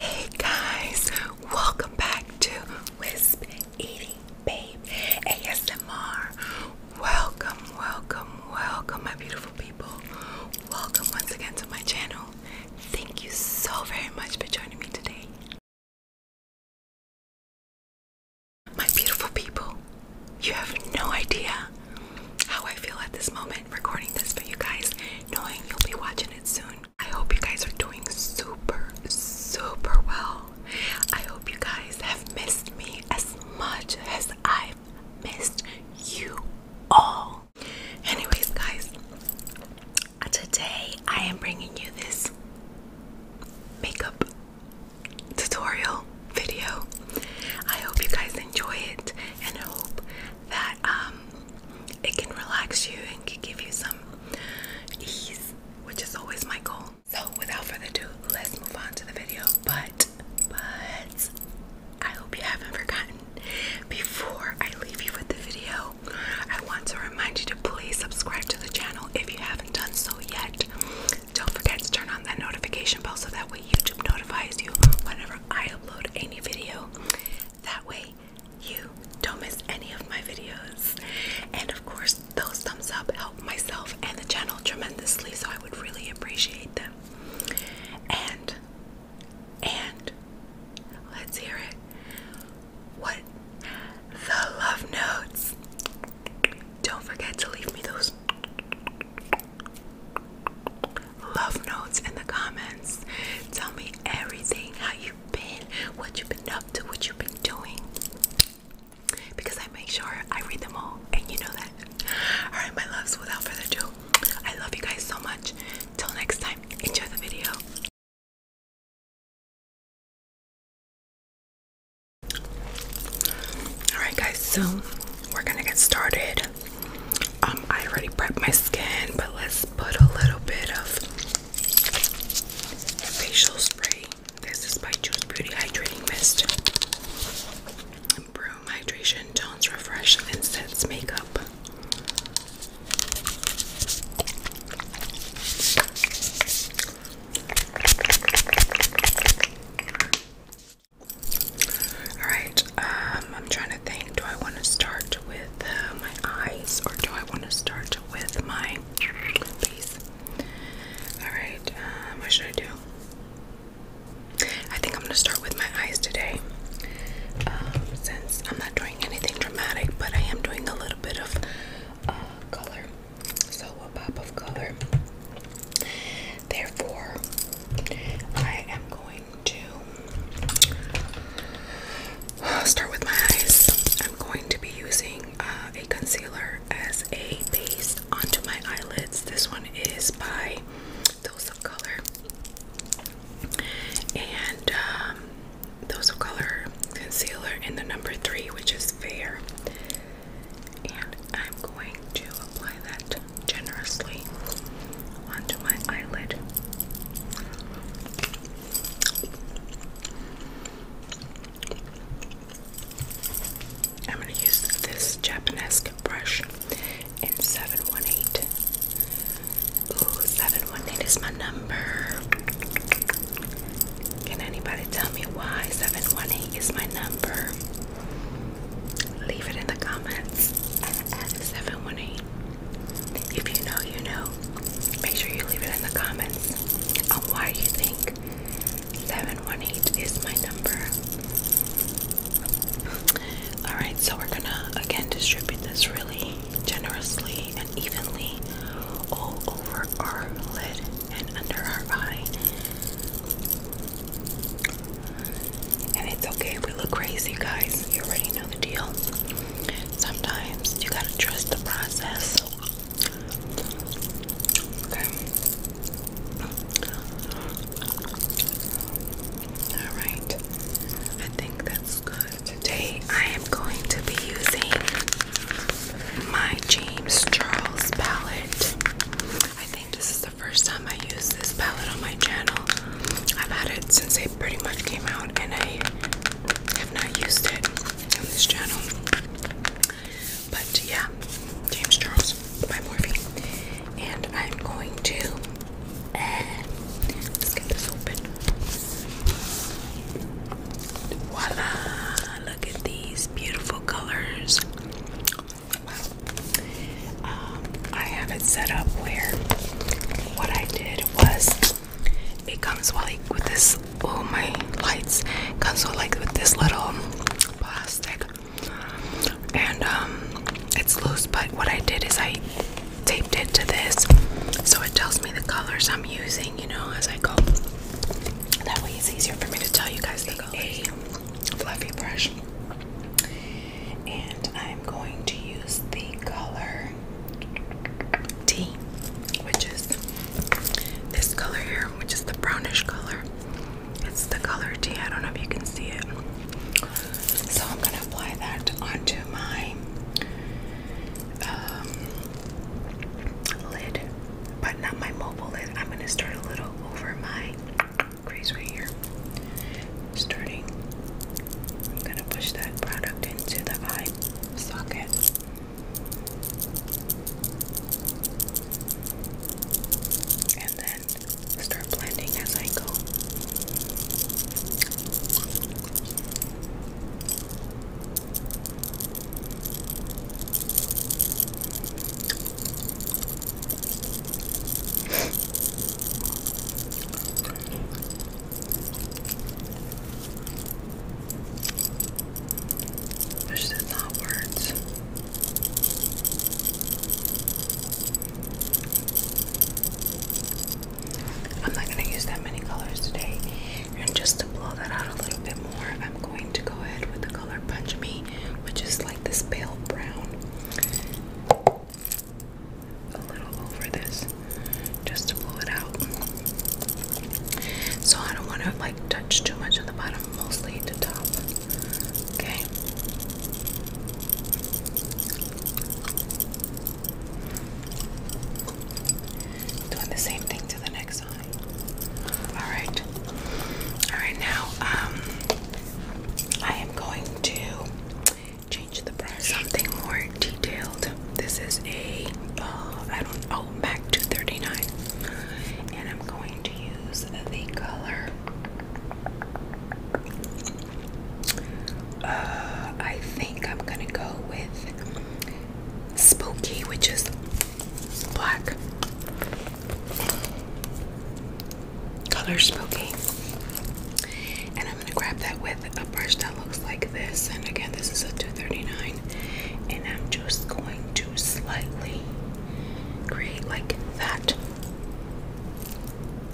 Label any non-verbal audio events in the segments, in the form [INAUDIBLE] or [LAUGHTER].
Hey guys, welcome back to Wisp Eating Babe ASMR. Welcome, welcome, welcome, my beautiful people. Welcome once again to my channel. Thank you so very much for joining me today. My beautiful people, you have no idea how I feel at this moment recording this for you guys, knowing you'll be watching it soon. I hope you guys are doing super, super well. I hope you guys have missed me as much as I've missed you all. Anyways, guys, today I am bringing you this makeup tutorial video. I hope you guys enjoy it and hope that um it can relax you and give you some ease, which is always my goal. So, without further ado, let's move on to the video. But, but, I hope you haven't forgotten. Before I leave you with the video, I want to remind you to please subscribe to the channel if you haven't done so yet. Don't forget to turn on that notification bell so that way YouTube notifies you whenever I upload any video. That way, you don't miss any of my videos. And of course, those thumbs up help myself and the channel tremendously, so I would really appreciate them. And, and, let's hear it. What? The love notes. Don't forget to leave me those love notes in the comments. Tell me everything how you been, what you've been up to, what you've been doing. Because I make sure I read them all, and you know that. Alright, my loves, without further ado, I love you guys so much. Till next time, enjoy the video. Alright, guys, so we're gonna get started. Um, I already prepped my skin, but let's put a little bit of facial spray. This is by Juice Beauty Hydrating Mist. Broom hydration tones, refresh, and sets makeup. All right, um, I'm trying to think do I want to start with uh, my eyes or do I want to start with my face? Alright, um, what should I do? I think I'm going to start with my eyes today um, since I'm not doing anything dramatic, but I am doing a little bit of uh, color. So, a pop of color. Therefore, I am going start with my eyes. I'm going to be using uh, a concealer as a base onto my eyelids. This one is by Those of Color. And um, Those of Color concealer in the number three, which is fair. And I'm going to apply that generously onto my eyelid. I'm going to use this Japanese brush in 718. Ooh, is my number. Can anybody tell me why 718 is my number? Leave it in the comments. 718. If you know, you know. Make sure you leave it in the comments on why you think 718 is my number. Alright, so we're gonna again distribute this really generously and evenly all over our lid and under our eye. And it's okay we look crazy, guys. You already know the deal sometimes you gotta trust the process. Okay. Alright. I think that's good. Today I am going to be using my James Charles palette. I think this is the first time I use this palette on my channel. I've had it since it pretty much came out and I I have not used it on this channel. But yeah, James Charles by Morphe. And I'm going to uh, let's get this open. Voila! Look at these beautiful colors. Um, I have it set up where what I did was it comes like with this. Oh my lights! Comes with like with this little plastic, and um, it's loose. But what I did is I taped it to this, so it tells me the colors I'm using. You know, as I go. That way, it's easier for me to tell you guys the colors. A fluffy brush, and I'm going to use the color T, which is this color here, which is the brownish color. It's the color T. don't know if you can see it. So I'm gonna apply that onto my um, lid, but not my mobile lid. I'm gonna start a little over my crease right here, starting I'm going to push that product into the eye socket. And then start blending as I go. Which is not words. I'm not going to use that many colors today. And just to blow that out a little bit more, I'm going to go ahead with the color Punch Me, which is like this pale brown a little over this just to blow it out. So I don't want to like touch too much on the bottom, mostly the top. Okay. Doing the same thing to the next eye. All right. All right now um I am going to change the price. Something more detailed. This is a uh, I don't oh MAC 239, and I'm going to use the color. Uh, I think I'm gonna go with Spooky, which is black. Color Spooky. I'm gonna grab that with a brush that looks like this. And again, this is a 239. And I'm just going to slightly create like that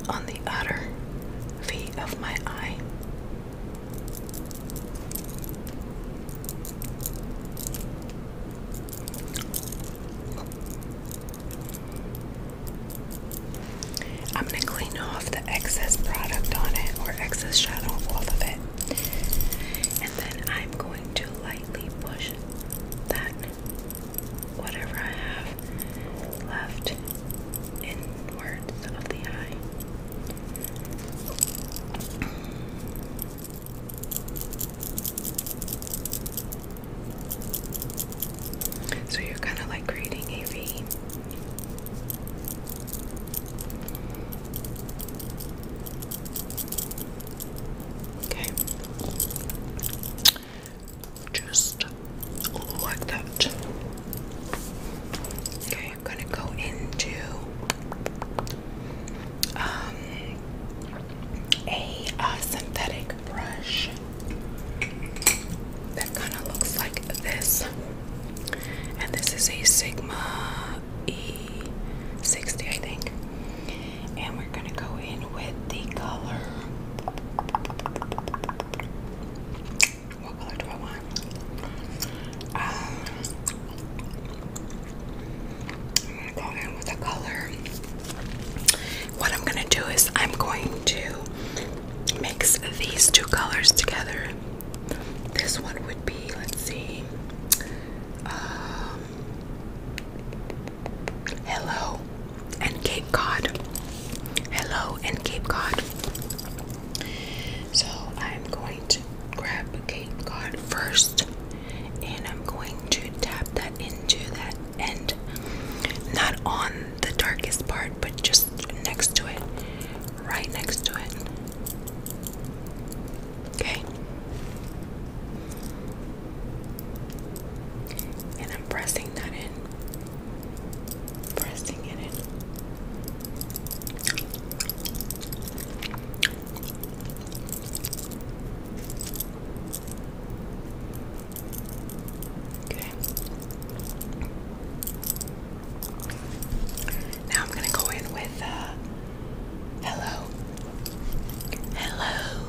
on the outer V of my eye. I'm going to clean off the excess product on it or excess shadow off of it. And then I'm going to lightly push that whatever I have left inwards of the eye. So you're kind of like creating a V. Okay. Just like that. Okay, I'm gonna go into um a uh, synthetic brush that kind of looks like this and this is a Sigma E60, I think. And we're gonna go in with the color. What color do I want? Um, I'm gonna go in with the color. What I'm gonna do is I'm going to mix these two colors together this one would be, let's see, um, Hello and Cape Cod. Hello and Cape Cod. So I'm going to grab Cape Cod first and I'm going to tap that into that end. Not on the darkest part, but just next to it right next to it. Okay. And I'm pressing that in. Pressing it Okay. Now I'm gonna go in with uh, Hello. Hello.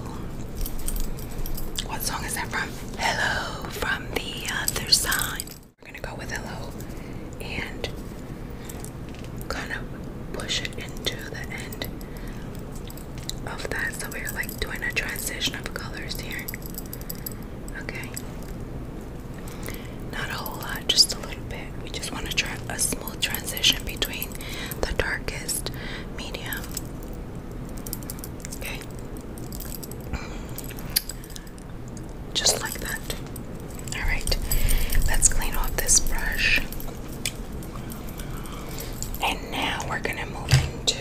What song is that from? Hello from the other side. We're gonna go with Hello and gonna push it into the end of that. So we're like doing a transition of colors here. Okay. Not a whole lot, just a little bit. We just want to try a smooth transition between the darkest medium. Okay. Just like that. Alright, let's clean off this brush. And now we're going to move into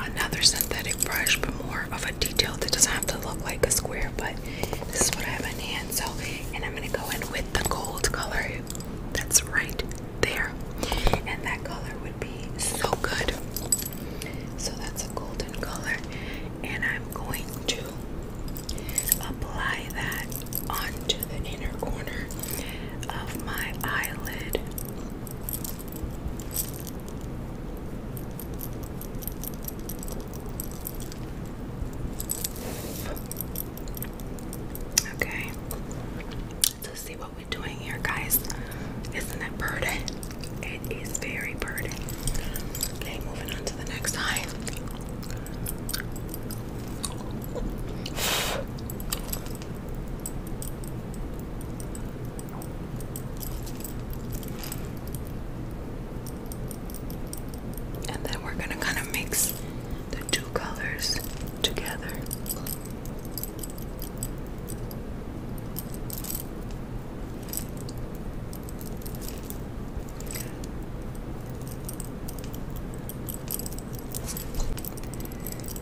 another synthetic brush, but more of a detail that doesn't have to look like a square, but this is what I have in hand. So, and I'm gonna go in with the gold color that's right there, and that color would be so good. So that's a golden color, and I'm going to apply that onto the inner corner of my eyelid. Okay. Let's see what we're doing here, guys. Isn't it burden? It is very burden. Okay, moving on to the next eye. And then we're going to kind of mix the two colors together.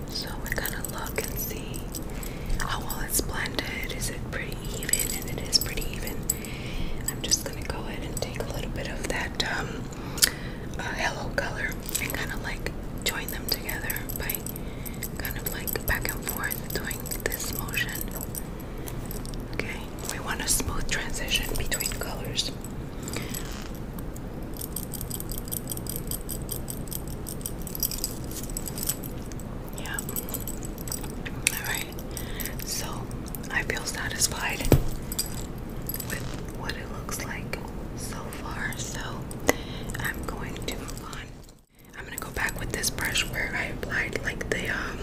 So we're going to look and see how oh, well it's blended. Is it pretty even? And it is pretty even. I'm just gonna go ahead and take a little bit of that um, uh, hello color and kind of like join them together by kind of like back and forth doing this motion. Okay, we want a smooth transition between colors. Yeah. Alright. So I feel satisfied with what it looks like so far. So I'm going to move on. I'm gonna go back with this brush where I applied like the um,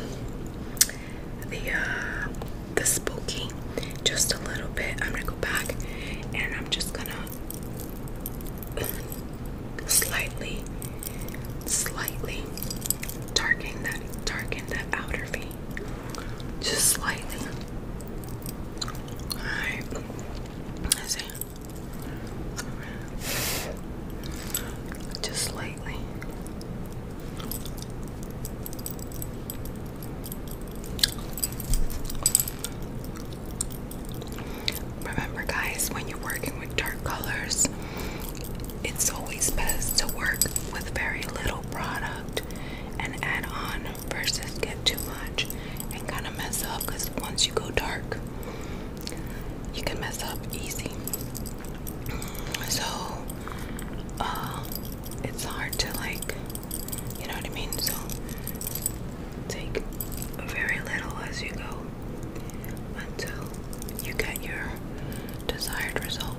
the uh, the spooky just a little bit. I'm gonna go back and I'm just gonna slightly, slightly darken that darken that outer V. Just slightly. Alright. That's it. Right. Just slightly. Remember, guys, when you're working with dark colors, it's always best to work with very little product and add on versus get too much and kind of mess up because once you go dark, you can mess up easy. So, uh, it's hard to like, you know what I mean? So, take very little as you go until you get your desired result.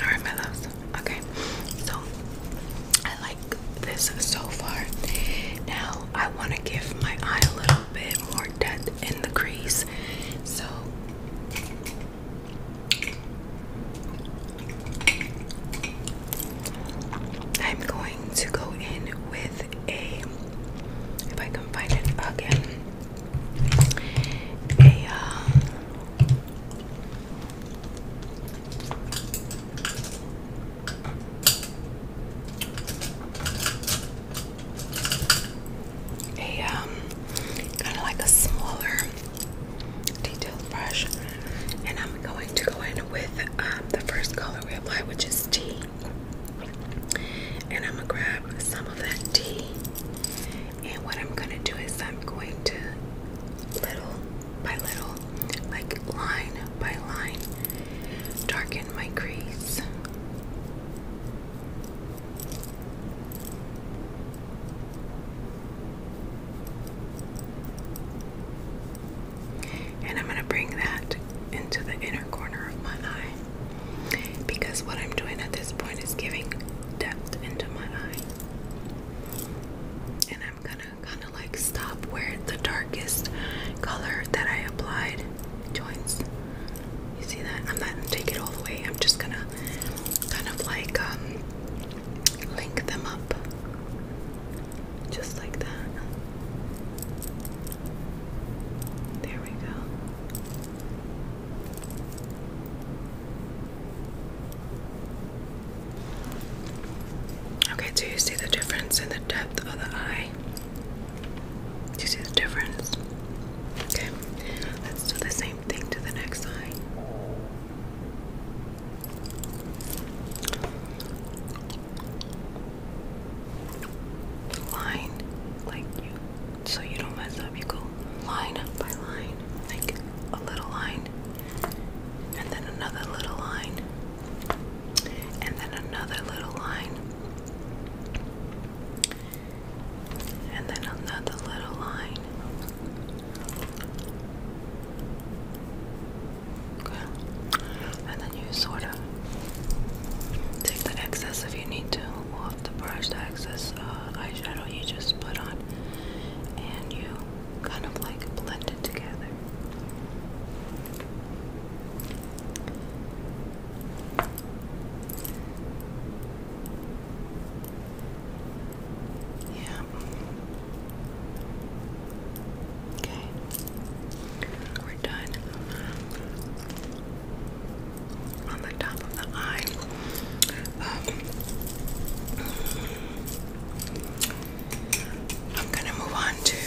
Alright, my loves. Okay, so I like this so far. Now I want to give my eye a little bit more depth in the crease. So I'm going to go in with a, if I can find it again, a, uh, a um, kind of like a smaller detailed brush, and I'm going to go in with um, the first color we apply, which is T. And I'm gonna grab some of that T, and what I'm gonna do is I'm going to little by little, like line by line, darken my crease. And I'm going to bring that into the inner corner of my eye because what I'm doing at this point is giving depth into my eye. And I'm going to kind of like stop where the darkest color that I applied joints. You see that? I'm not gonna take it all the way. I'm just gonna kind of like um, link them up, just like that. There we go. Okay, do you see the difference in the depth of the eye? Do you see the difference? Okay, let's do the same thing to the next eye. Line, like you, so you don't mess up, you go line up by line, like a little line, and then another little line, and then another little line and then another little line. Okay. And then you sort of take the excess if you need to off the brush, the excess uh, eyeshadow you just put on, and you kind of like blend it together. Yeah. Okay. We're done on the top of the eye. Um, I'm gonna move on to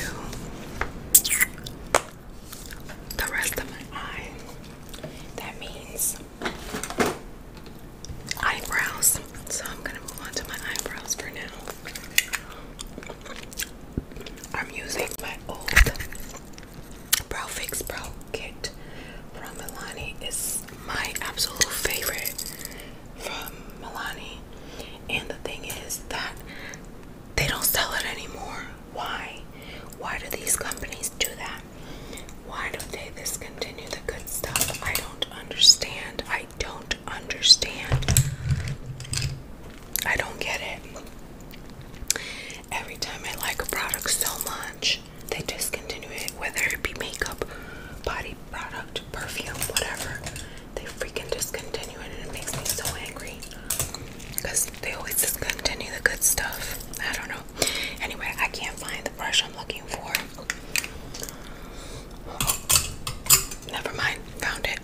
the rest of my eye. That means eyebrows. So I'm gonna move on to my eyebrows for now. I'm using my old Brow Fix Brow Kit from Milani. It's my absolute favorite from Milani. And the thing is that they don't sell it anymore. Why? Why do these companies do that? Why don't they discontinue the good stuff? I don't understand. I don't understand. I don't get it. Every time I like a product so much, they discontinue it, whether it be makeup, body product, perfume, whatever. They freaking discontinue it and it makes me so angry because they always continue the good stuff. I don't know. Anyway, I can't find the brush I'm looking for. Never mind, found it.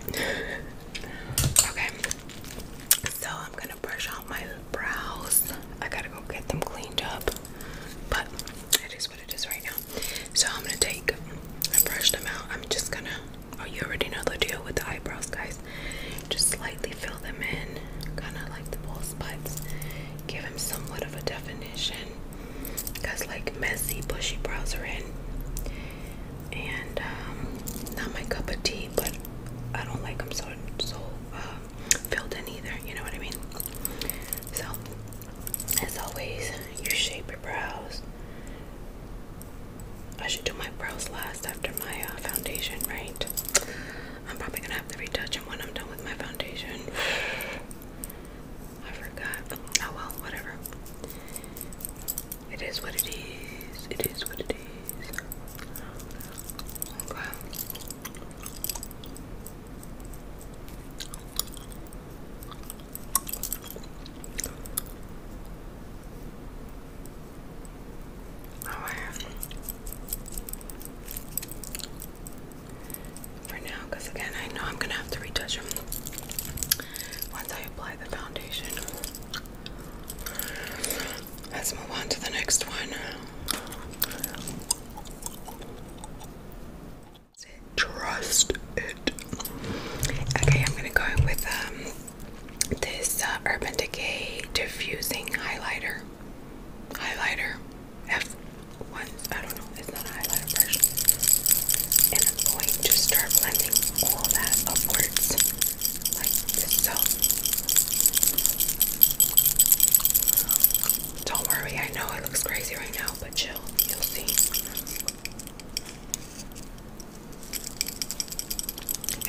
Okay, so I'm gonna brush out my brows. I gotta go get them cleaned up, but it is what it is right now. So I'm gonna take, and brush them out. I'm just gonna, oh, you already know the deal with the eyebrows, guys. Just slightly fill them in, kind of like the bald spots. Give them somewhat of a definition. Cause like messy, bushy brows are in, and um, not my cup of tea, but I don't like them so so um, filled in either. You know what I mean? So, as always, you shape your brows. I should do my brows last after my uh, foundation, right? I'm probably gonna have to retouch and when I'm done with my foundation. [SIGHS] I forgot. Oh well, whatever. It is what it is. It is what it is. Okay for now, because again, I know I'm gonna have to retouch them once I apply the foundation. Let's move on to the next one. Trust it. Okay, I'm gonna go with um this uh, Urban Decay diffusing highlighter. Highlighter F one. I don't know. It's not a highlighter brush. And I'm going to start blending all that upwards like this. So don't worry. I know it looks crazy right now, but chill. You'll see.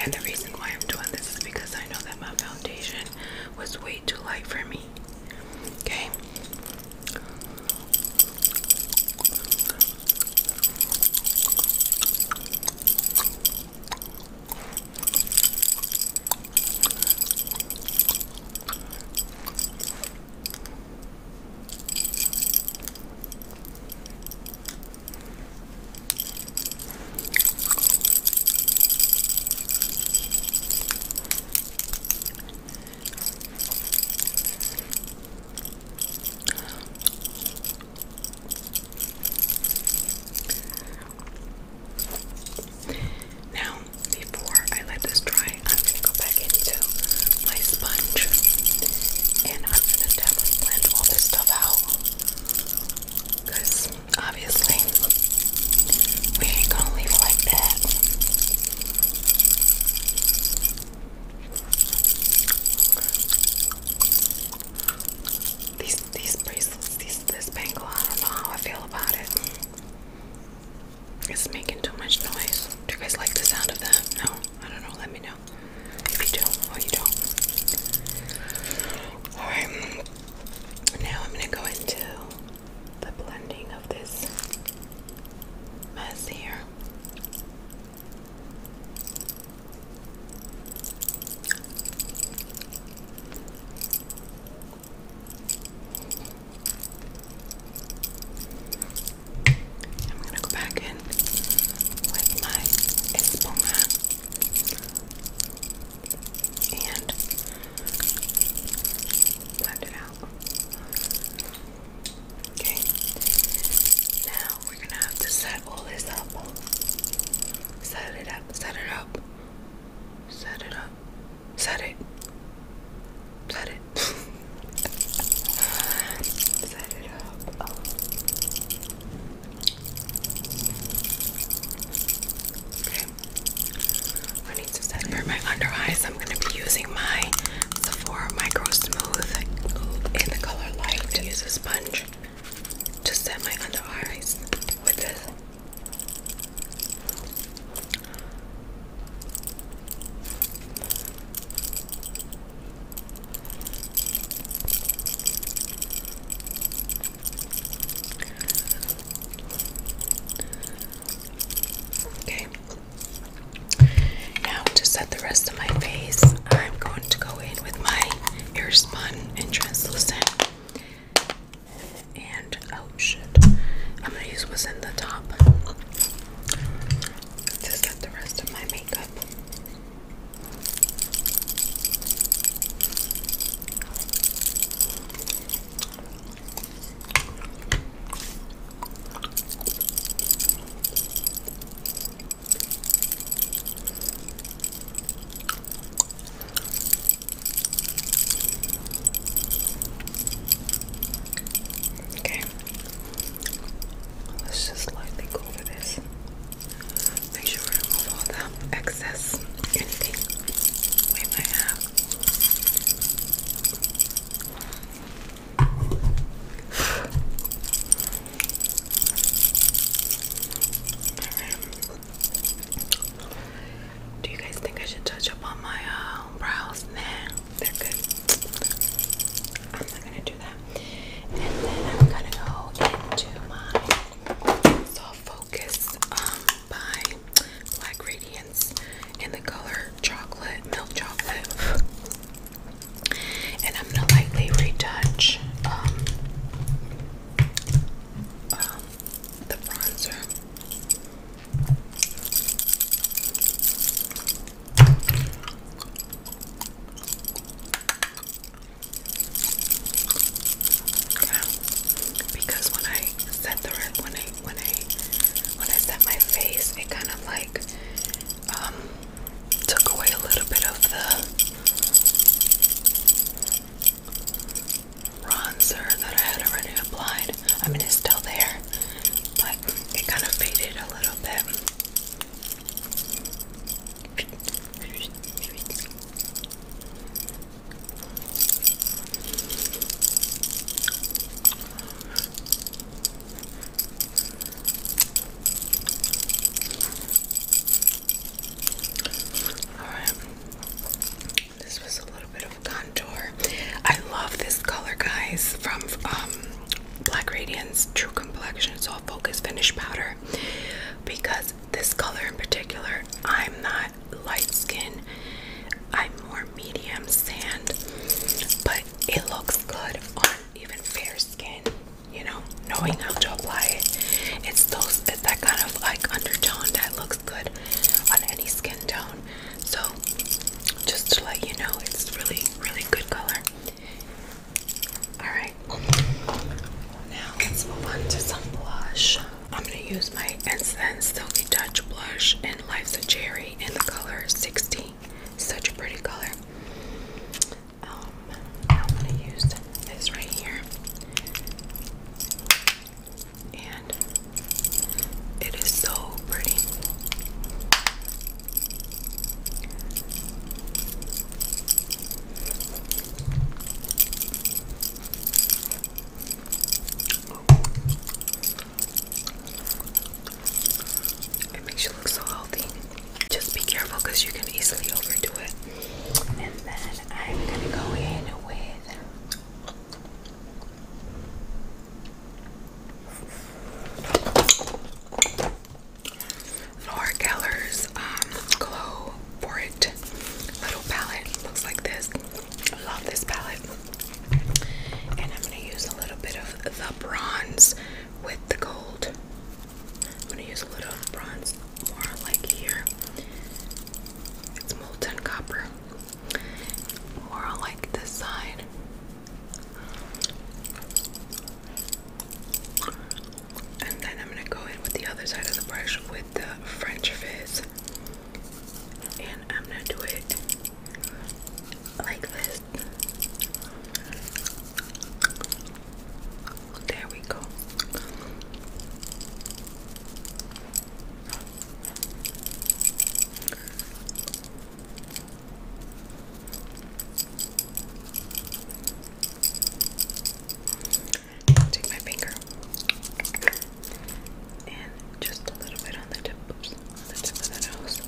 And the reason why I'm doing this is because I know that my foundation was way too light for me. Okay. Now, before I let this dry, I'm going to go back into my sponge and I'm going to definitely blend all this stuff out obviously. We ain't gonna leave like that. These these bracelets, these this bangle, I don't know how I feel about it. It's making too much noise. Do you guys like the sound of that? No? I don't know, let me know. If you do or you don't. Alright. Now I'm going to go into the blending of this mess here. I'm going to go back in with my espuma and blend it out. Okay, now we're gonna have to set all this up. Set it up, set it up, set it up, set it, set it, [LAUGHS] set it up. I need to set for my under eyes. I'm gonna be using my Sephora Micro Smooth in the color light to use a sponge to set my under eyes with this. Okay. Now to set the rest of my face, I'm going to go in with my airspun and translucent. And oh shit, I'm gonna use what's in the top to set the rest of my makeup. Okay, let's just lightly go over this. Make sure we remove all the excess, anything we might have. Do you guys think I should touch up on my uh, brows? now? they're good. I'm not gonna do that. And then I'm gonna go into my soft Focus um, by Black Radiance in the color Chocolate, Milk Chocolate. And I'm going to lightly retouch um, um, the bronzer because when I set the when I when I when I set my face, it kind of like um, took away a little bit of the bronzer that I had already applied. I mean, it's still there, but it kind of faded a little bit. This was a little bit of contour. I love this color, guys, from um, Black Radiance True Complexion Soft Focus Finish Powder because this color in particular. I'm not light skin, I'm more medium sand, but it looks good on even fair skin, you know, knowing how to apply it. It's those it's that kind of like undertone that looks good on any skin tone. So just to let you know, it's really, really good color. Alright, now let's move on to some blush. I'm gonna use my Incense Silky Touch blush in Life's a Cherry in the color 60. Such a pretty color. Um, I'm gonna use this right here, and it is so pretty. It makes you look so healthy. Just be careful because you can easily overdo it. And then I'm gonna go in with Laura Keller's um, Glow for it. Little palette looks like this. I love this palette. And I'm going to use a little bit of the bronze with the gold. I'm going to use a little bronze more like here. It's molten copper. More like this side. And then I'm gonna go in with the other side of the brush with the French fizz. And I'm gonna do it like this. There we go. Take my finger and just a little bit on the tip, oops, the tip of the nose,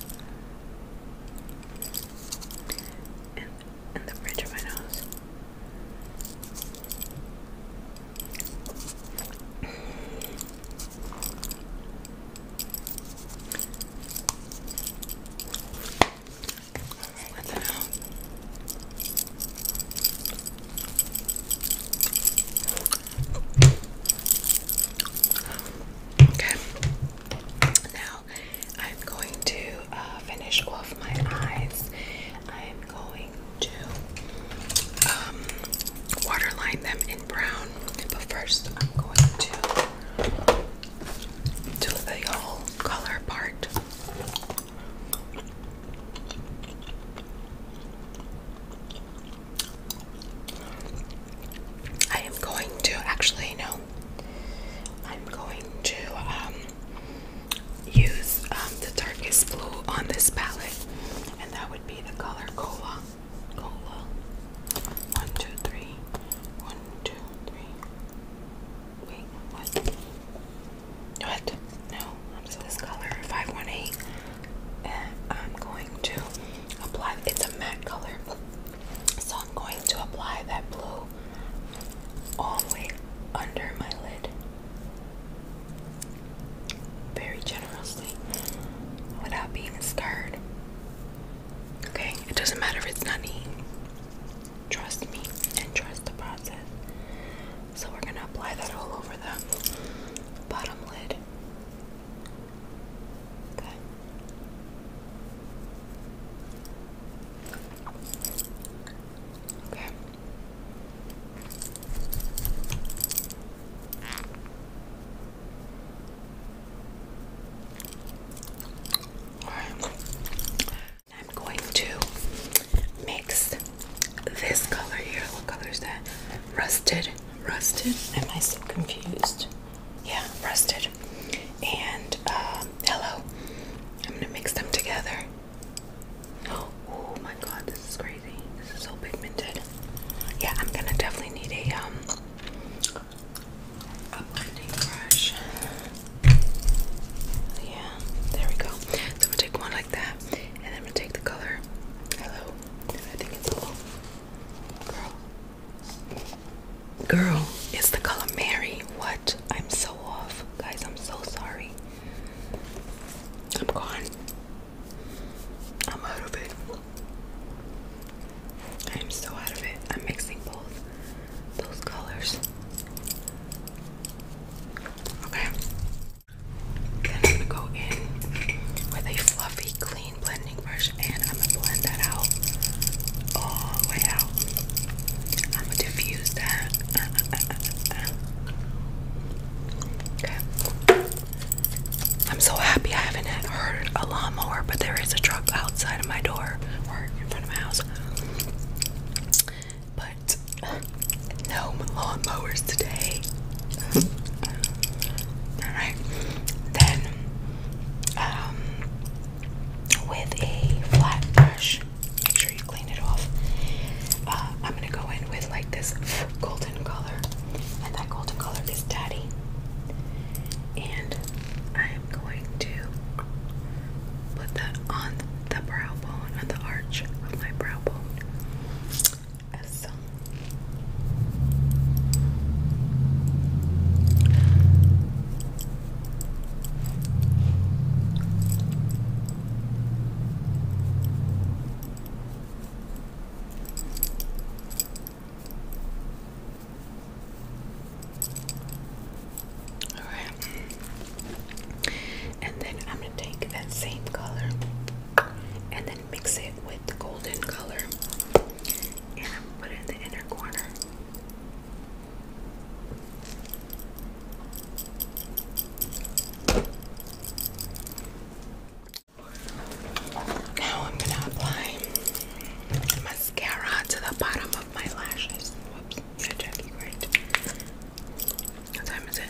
and and the bridge of my nose. Let that out. Okay. Now I'm going to uh, finish off my eyes. I'm going to um, waterline them in brown, but first I'm going to do the whole color part. I am going to actually no. I'm going to um, use um, the darkest blue on this palette, and that would be the color cola. Cola. One, two, three. One, two, three. Wait, what? What? No, I'm so this color 518, I'm going to apply. It's a matte color, so I'm going to apply that blue all the way under my lid, very generously, without being scared. Okay, it doesn't matter if it's not neat. Trust me and trust the process. So we're going to apply that all over the bottom lid. Okay. Okay. All right. I'm going to mix this color here. What color is that? Rusted. Rusted. Am I still confused? Yeah, rusted. And um, I'm gonna mix them together. [GASPS] Oh, my god, this is crazy. This is so pigmented. Yeah, I'm gonna definitely need a um, blending brush. Yeah, there we go. So i take one like that and I'm gonna take the color Hello. I think it's hello. Girl. Girl, it's the color Mary. What? I'm so off. Guys, I'm so sorry. I'm gone. I'm out of it. I am so out of it. I'm mixing both those colors. Okay. Then I'm gonna go in with a fluffy, clean blending brush and I'm gonna blend that out all the way out. I'm gonna diffuse that. Okay. I'm so happy I haven't heard a lawnmower, but there is a truck outside of my door or in front of my house. But no lawnmowers today. Alright. Then um with a flat brush, make sure you clean it off. Uh, I'm gonna go in with like this golden color, and that golden color is daddy. And I'm going to put that on the brow bone or the arch of my brow bone. So, all right. And then I'm going to take that same color and then mix it with the golden color. And I'm going to put it in the inner corner. Now I'm gonna apply mascara to the bottom of my lashes. Whoops, yeah, Jackie, right? What time is it?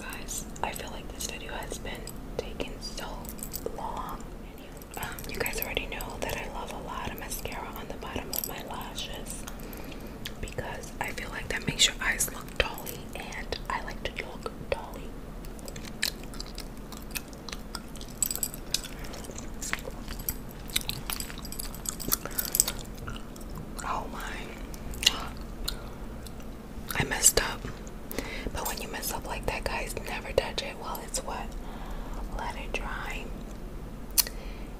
guys, I feel like this video has been taking so long. Um, you guys already know that I love a lot of mascara on the bottom of my lashes because I feel like that makes your eyes look dolly, and I like to look dolly. Oh my. I messed up. But when you mess up like that, guys, never touch it while it's wet. Let it dry.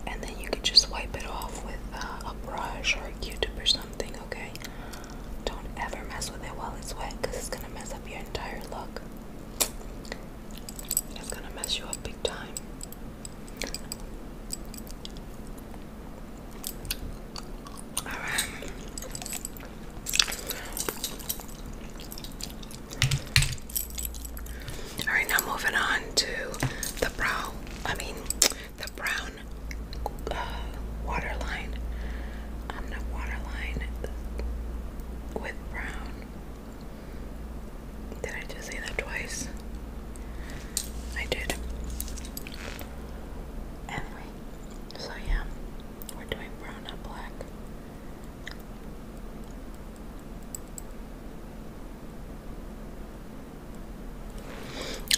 And then you can just wipe it off with uh, a brush or a Q-tip or something, okay? Don't ever mess with it while it's wet because it's going to mess up your entire look. It's going to mess you up big time. All right. now moving on to the brow. I mean, the brown uh, waterline. I'm um, waterline with brown. Did I just say that twice? I did. Anyway, so yeah, we're doing brown, not black.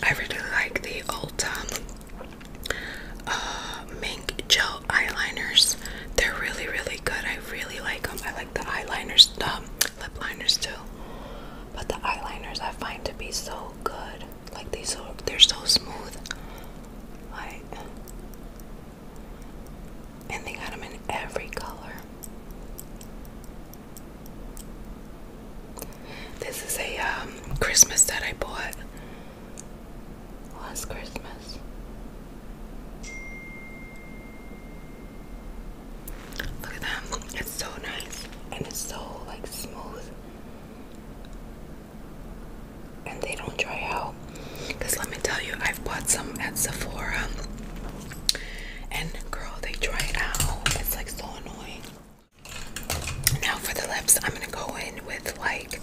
I really like the old um, uh, mink gel eyeliners. They're really, really good. I really like them. I like the eyeliners, the lip liners too. But the eyeliners I find to be so so good. Like they so they're so smooth. Like and they got them in every color. This is a um, Christmas that I bought last Christmas. Look at them. It's so nice and it's so like smooth. And they don't dry out. Because let me tell you, i bought some at Sephora. And girl, they dry out. It's like so annoying. Now for the lips, I'm gonna go in with like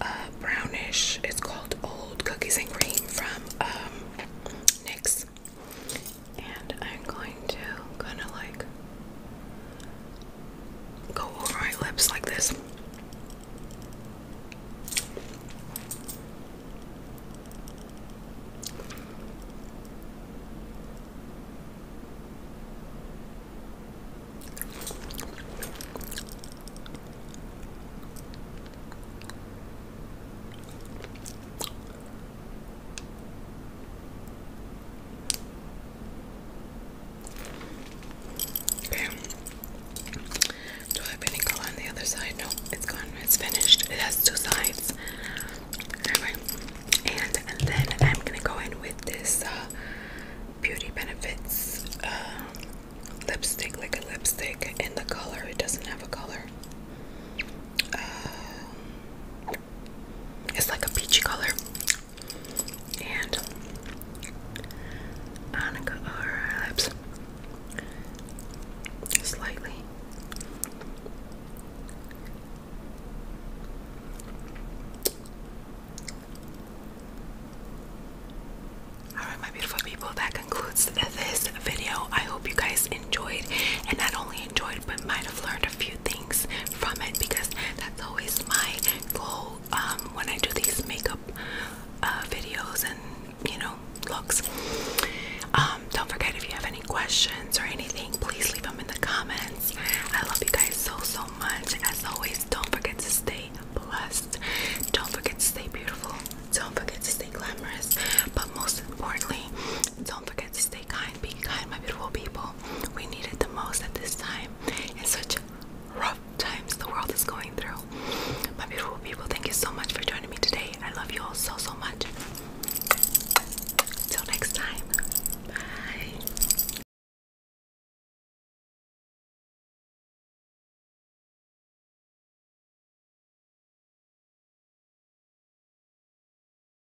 uh brownish. It's called Old Cookies and Cream from um NYX and I'm going to kind of like go over my lips like this. Do I have any color on the other side? No, it's gone. It's finished. It has two sides. Anyway, and, then I'm gonna go in with this uh, Beauty Benefits uh, lipstick, like lipstick in the color. It doesn't have a color. Uh, it's like a peachy color. And Annika oh, her lips slightly. Alright my beautiful people, that concludes this video. I hope you guys enjoyed and not only really enjoyed but might have learned a few things from it because that's always my goal um, when I do these makeup uh, videos and you know looks. Um, don't forget if you have any questions or anything, please leave them in the comments. I love you guys so so much. As always, don't forget to stay blessed. Don't forget to stay beautiful. Don't forget to stay glamorous. But most importantly, don't forget to stay kind, be kind, my beautiful people. We need it the most at this time. In such rough times the world is going through. My beautiful people, thank you so much for joining me today. I love you all so so much. Till next time. Bye.